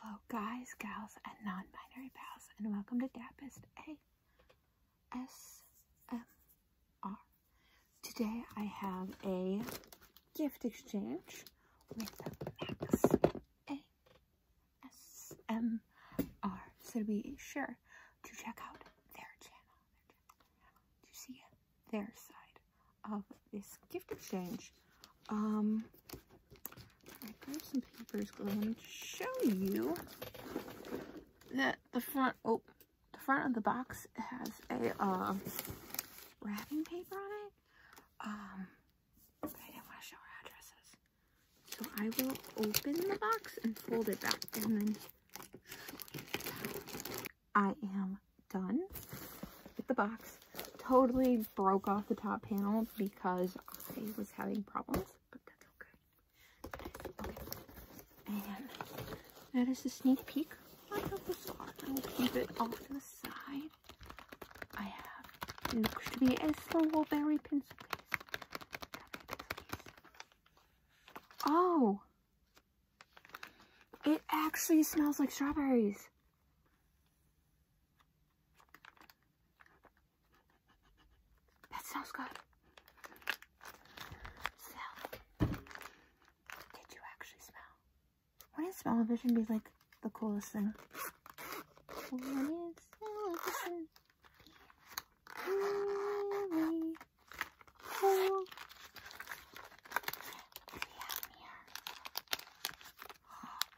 Hello guys, gals, and non-binary pals, and welcome to Dappist ASMR. Today I have a gift exchange with ASMR, so be sure to check out their channel to see their side of this gift exchange. Um, I have some papers Go ahead and show you that the front, oh, the front of the box has a uh, wrapping paper on it. Um, I didn't want to show addresses. So I will open the box and fold it back and then I am done with the box. Totally broke off the top panel because I was having problems, but that's okay. okay. And that is a sneak peek of how this are. I will keep it off to the side. I have looks to be a strawberry pencil case. Oh! It actually smells like strawberries. That sounds good. So, did you actually smell? Wouldn't vision be like the coolest thing? would smell vision really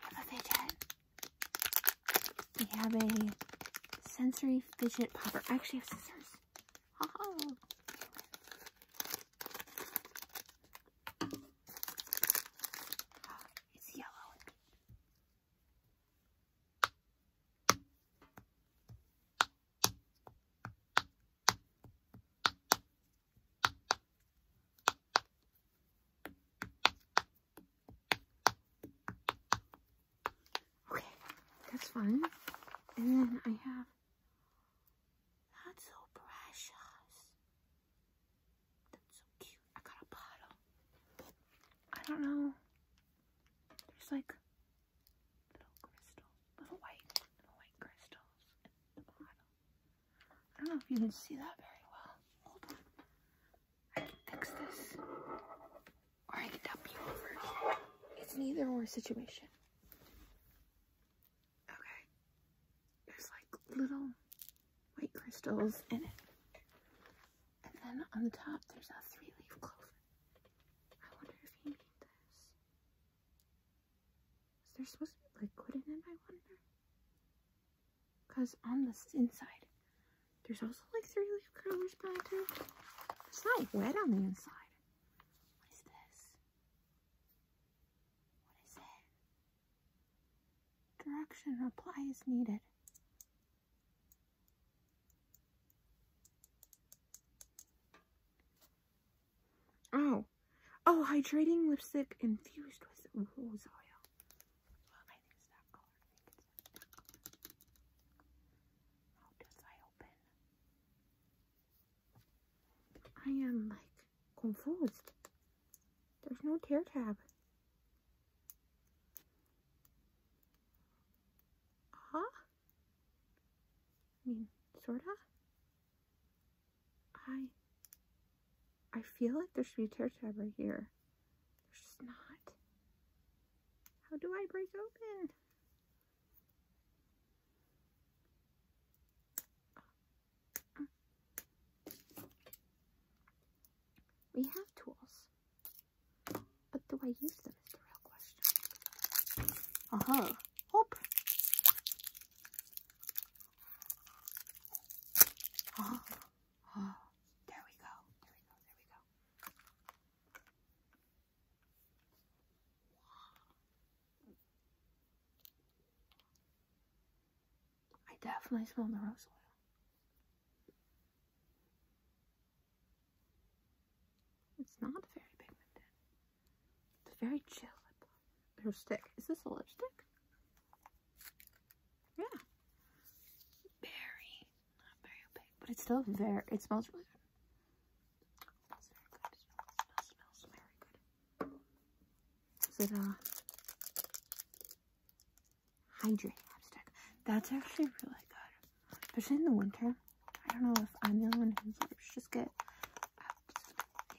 on the fidget, we have a sensory fidget popper. I actually have scissors. Oh. It's yellow. Okay, that's fun. And then I have that's so precious. That's so cute. I got a bottle. I don't know. There's like little crystals, little white, little white crystals in the bottle. I don't know if you can see that very well. Hold on. I can fix this. Or I can dump you over. It's neither or situation. Okay. There's like little white crystals in it. And then on the top there's a three-leaf clover. I wonder if you need this. Is there supposed to be liquid in it, I wonder? Because on the inside, there's also like three leaf curlers, but I It's not wet on the inside. What is this? What is it? Direction reply is needed. Oh, Oh, hydrating lipstick infused with rose oil. I How does I open? I am like confused. There's no tear tab. Huh? I mean, sorta. I I feel like there should be tertabber here. There's just not. How do I break open? We have tools, but do I use them is the real question. Uh-huh. Hope. Oh, oh, there we go. There we go. There we go. I definitely smell the rose oil. It's not very pigmented. It's very chill. Her stick. Is this a lipstick? Yeah. Very, not very opaque, but it's still very, it smells really good. It very good. It smells, smells very good. Is it, uh, hydrate lipstick? That's actually really good. Especially in the winter. I don't know if I'm the only one whose lips just get up,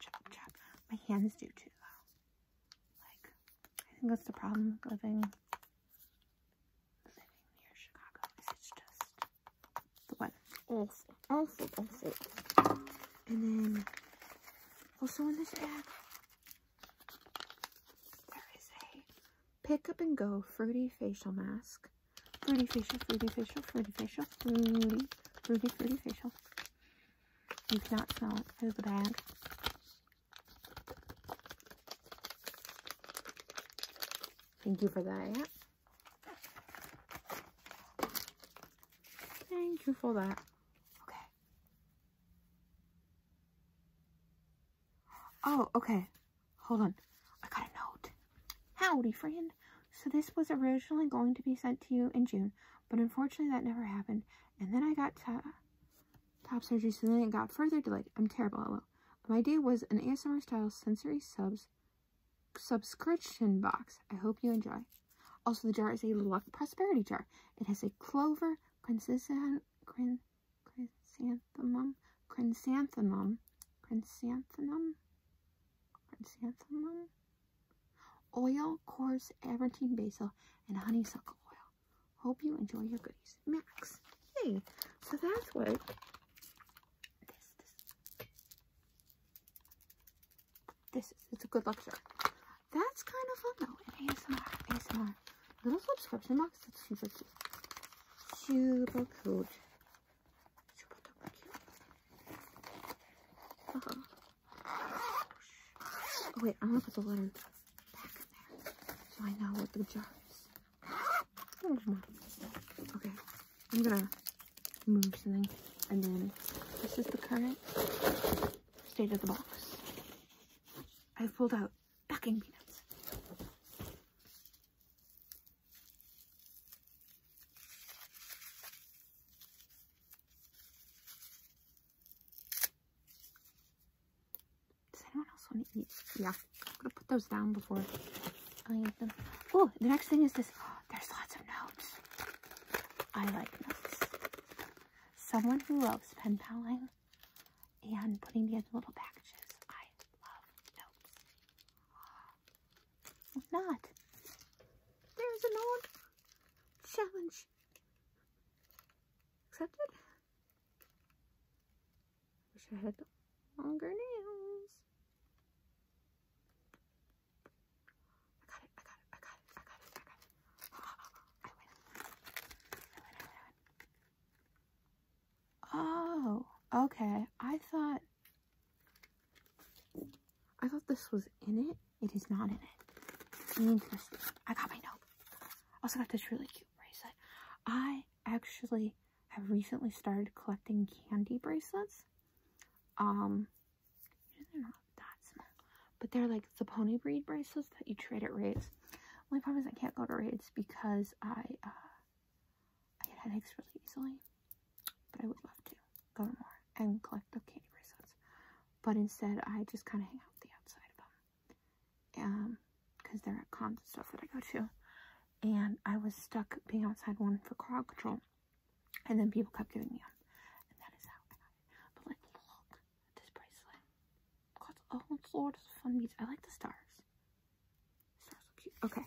chop, chop. My hands do too, though. Like, I think that's the problem with living, living near Chicago. It's just the weather's awful, awful, awful. And then, also in this bag, there is a pick up and go fruity facial mask. Fruity facial, fruity facial, fruity facial, fruity, fruity, fruity facial. You not smell it. It's so bad. Thank you for that. Thank you for that. Okay. Oh, okay. Hold on. I got a note. Howdy, friend. So this was originally going to be sent to you in June, but unfortunately that never happened. And then I got top surgery, so then it got further delayed. I'm terrible, hello. My idea was an ASMR style sensory subs subscription box. I hope you enjoy. Also, the jar is a Luck Prosperity jar. It has a clover, chrysanthemum, chrysanthemum, chrysanthemum, chrysanthemum, chrysanthemum, Oil, coarse, Aventine basil, and honeysuckle oil. Hope you enjoy your goodies. Max. Yay! so that's what this, is. It's a good luck jar. That's kind of fun though. And ASMR, ASMR. Little subscription box. That's super cute. Super cute. Uh-huh. Oh wait, I'm gonna put the lid back in there so I know what the jar is. okay, I'm gonna move something, and then this is the current state of the box. i pulled out packing peanuts. Does anyone else want to eat? Yeah, I'm gonna put those down before I eat them. Oh, the next thing is this. there's lots of notes. I like notes. Someone who loves pen paling and putting together little packages. I love notes not, there's an old challenge accepted. Wish I had longer nails. I got it, I got it, I got it, I got it, I got it. I win. I win, I win. Oh, okay. I thought I thought this was in it. It is not in it. I got my note. Also got this really cute bracelet. I actually have recently started collecting candy bracelets. Um, but they're like the pony breed bracelets that you trade at raids. Only problem is I can't go to raids because I uh, I get headaches really easily. But I would love to go to more and collect the candy bracelets. But instead, I just kind of hang out the outside of them. Because um, they're at cons and stuff that I go to. And I was stuck being outside one for crowd control. And then people kept giving me them. And that is how I got it. But like, look at this bracelet. oh, Lord, it's fun beads. I like the stars. The stars are cute. Okay.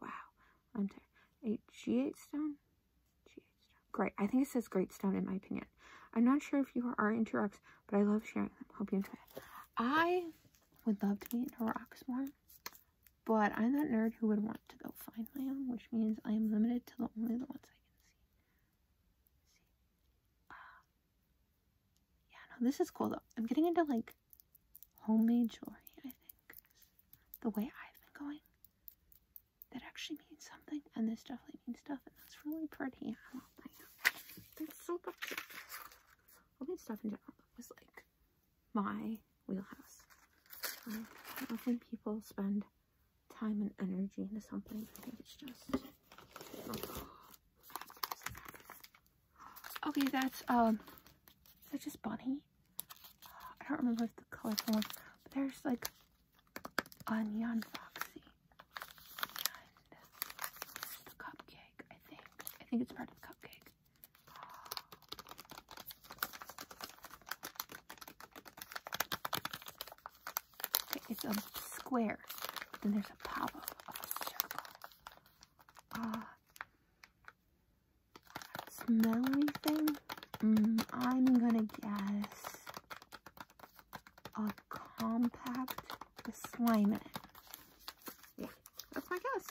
Wow. I'm there. A G8 stone? G8 stone. Great. I think it says great stone in my opinion. I'm not sure if you are into rocks, but I love sharing them. Hope you enjoy it. I would love to be into rocks more, but I'm that nerd who would want to go find my own, which means I am limited to the only the ones I can see. Uh, yeah, no, this is cool though. I'm getting into like homemade jewelry, I think the way I've been going, that actually means something, and this definitely means stuff, and that's really pretty. I love that. That's so cute. All that stuff in general was like my wheelhouse. Um, I do when people spend time and energy into something. I think it's just. Okay, that's um, that's just Bunny. I don't remember if the colorful ones, but there's like Onion neon foxy and the cupcake, I think. I think it's part of cupcake. Okay, it's a square, then there's a pop of a circle. Ah smell anything? Mm, I'm gonna guess a compact with slime Yeah, that's my guess.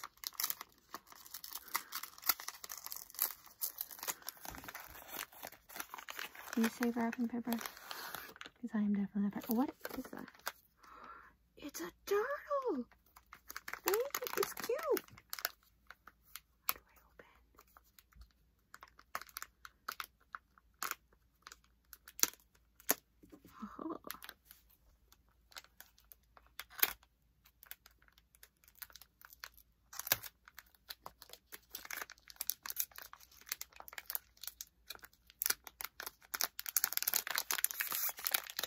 Do you say wrapping paper? Because I am definitely not. What is that? It's a turtle! Ooh, it's cute. How do I open? Oh.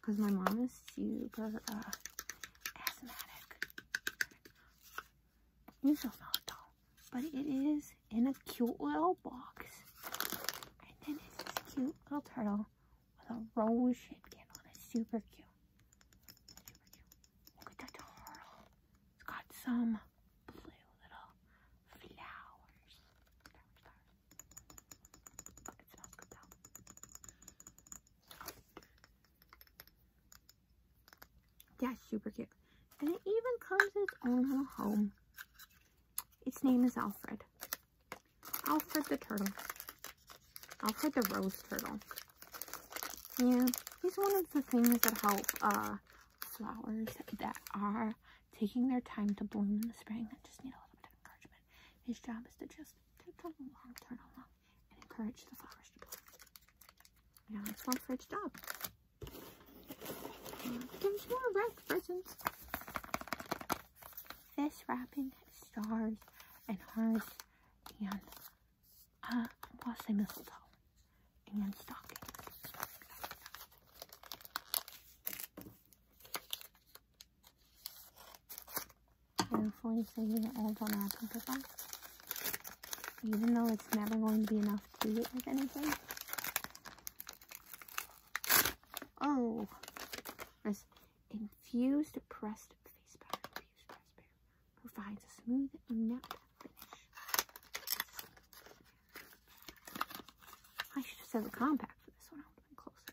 because my mom is super uh, asthmatic. You don't know it all, but it is in a cute little box. And then it's this cute little turtle with a rose shaped on it. Super cute. Super cute. Look at that turtle. It's got some blue little flowers. It Yeah, super cute. And it even comes in its own little home. Its name is Alfred. Alfred the turtle. Alfred the rose turtle. Yeah, he's one of the things that help uh, flowers that are taking their time to bloom in the spring that just need a little bit of encouragement. His job is to just take the turn along, and encourage the flowers to bloom. Yeah, that's one for each job. And there's more wrapped presents. This wrapping stars and hearts and uh, I want mistletoe and stockings. Carefully saving all the magic paper. Even though it's never going to be enough to do it with anything. Oh! This infused pressed face powder. provides a smooth matte finish. I should have said the compact for this one. I would have been closer.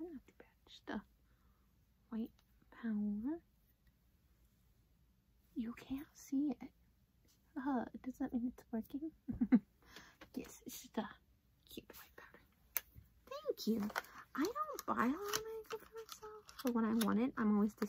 Not too bad. Just the white powder. You can't see it. Uh, does that mean it's working? yes, it's just a cute white powder. Thank you. I don't buy a lot of makeup for myself, but when I want it, I'm always disappointed.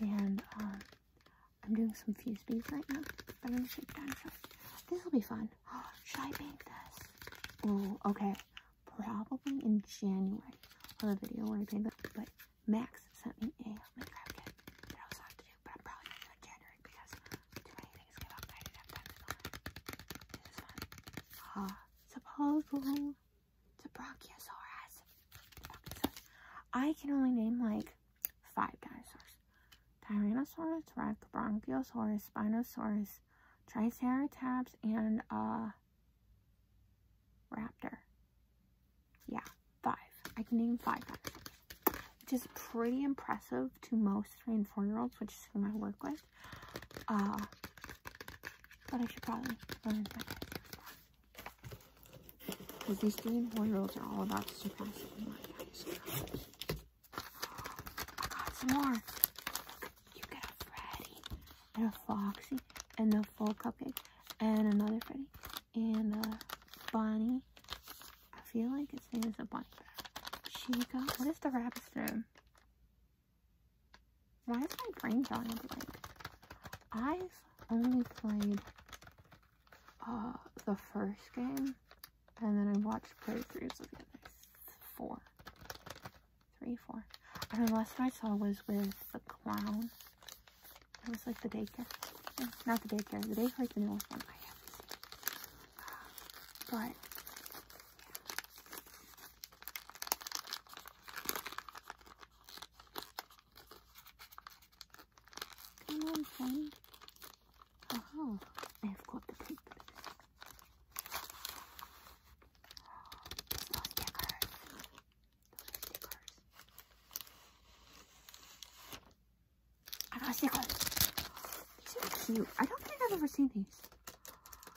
And um, I'm doing some fuse beads right now. I'm gonna shake down some. This will be fun. Should I make this? Oh, okay. Probably in January. Or a video where I made that, but Max sent me a Minecraft I was on to do, but I'm probably not doing January because to do it. This is fun. Ah, to Brachiosaurus. Brachiosaurus. I can only name like five dinosaurs. Tyrannosaurus Rex, Brachiosaurus, Spinosaurus, Triceratops, and a uh, Raptor. Yeah, five. I can name five which is pretty impressive to most three and four year olds, which is who I work with. Uh, but I should probably Because these three and four year olds are all about surpassing my dinosaur. Oh, I got some more. You got a Freddy and a Foxy and a full cupcake and another Freddy and a Bunny. I feel like its name is a Bunny. She got, what is the rabbit's name? Why is my brain telling me blank? I've only played uh, the first game, and then I watched playthroughs of the other four, three, four. Three, four. And the last one I saw was with the clown. It was like the daycare. Eh, not the daycare. The daycare's the newest one I haven't But, Come on, friend. Aha, uh-huh. I've got the paper. Those stickers. Those are I got stickers. These are cute. I don't think I've ever seen these.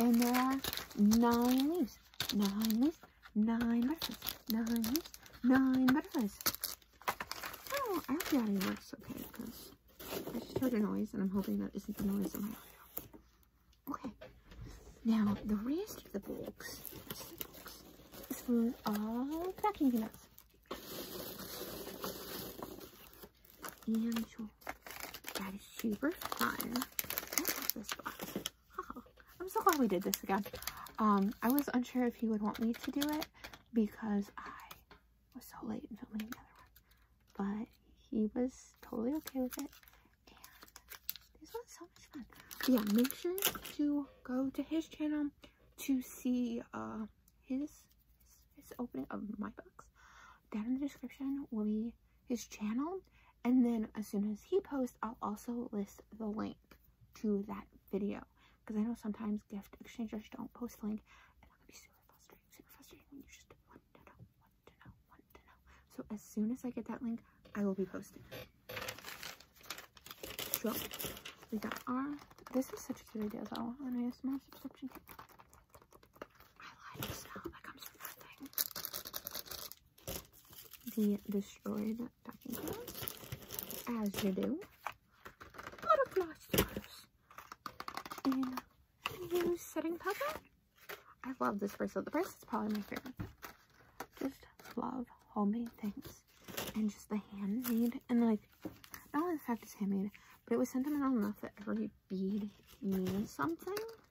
and there are nine leaves, nine leaves, nine butterflies, nine leaves, nine butterflies. Oh, I hope the audio works okay because I just heard a noise and I'm hoping that isn't the noise of my audio. Okay, now the rest of the box, of is full of packing peanuts. And that is super fun. Oh, I'm so glad we did this again. Um, I was unsure if he would want me to do it because I was so late in filming the other one, but he was totally okay with it. this one's so much fun. yeah, make sure to go to his channel to see uh, his his opening of my box. Down in the description will be his channel. And then as soon as he posts, I'll also list the link to that video. Because I know sometimes gift exchangers don't post the link. So as soon as I get that link, I will be posting. we got our, this is such a cute idea though, an ASMR subscription tape. I like the smell that comes the destroyed packing class, as you do. Butterfly stars. And new setting powder. I love this bracelet. The bracelet's probably my favorite. Just love homemade things. And just the handmade. And like, not only the fact it's handmade, but it was sentimental enough that every bead means something.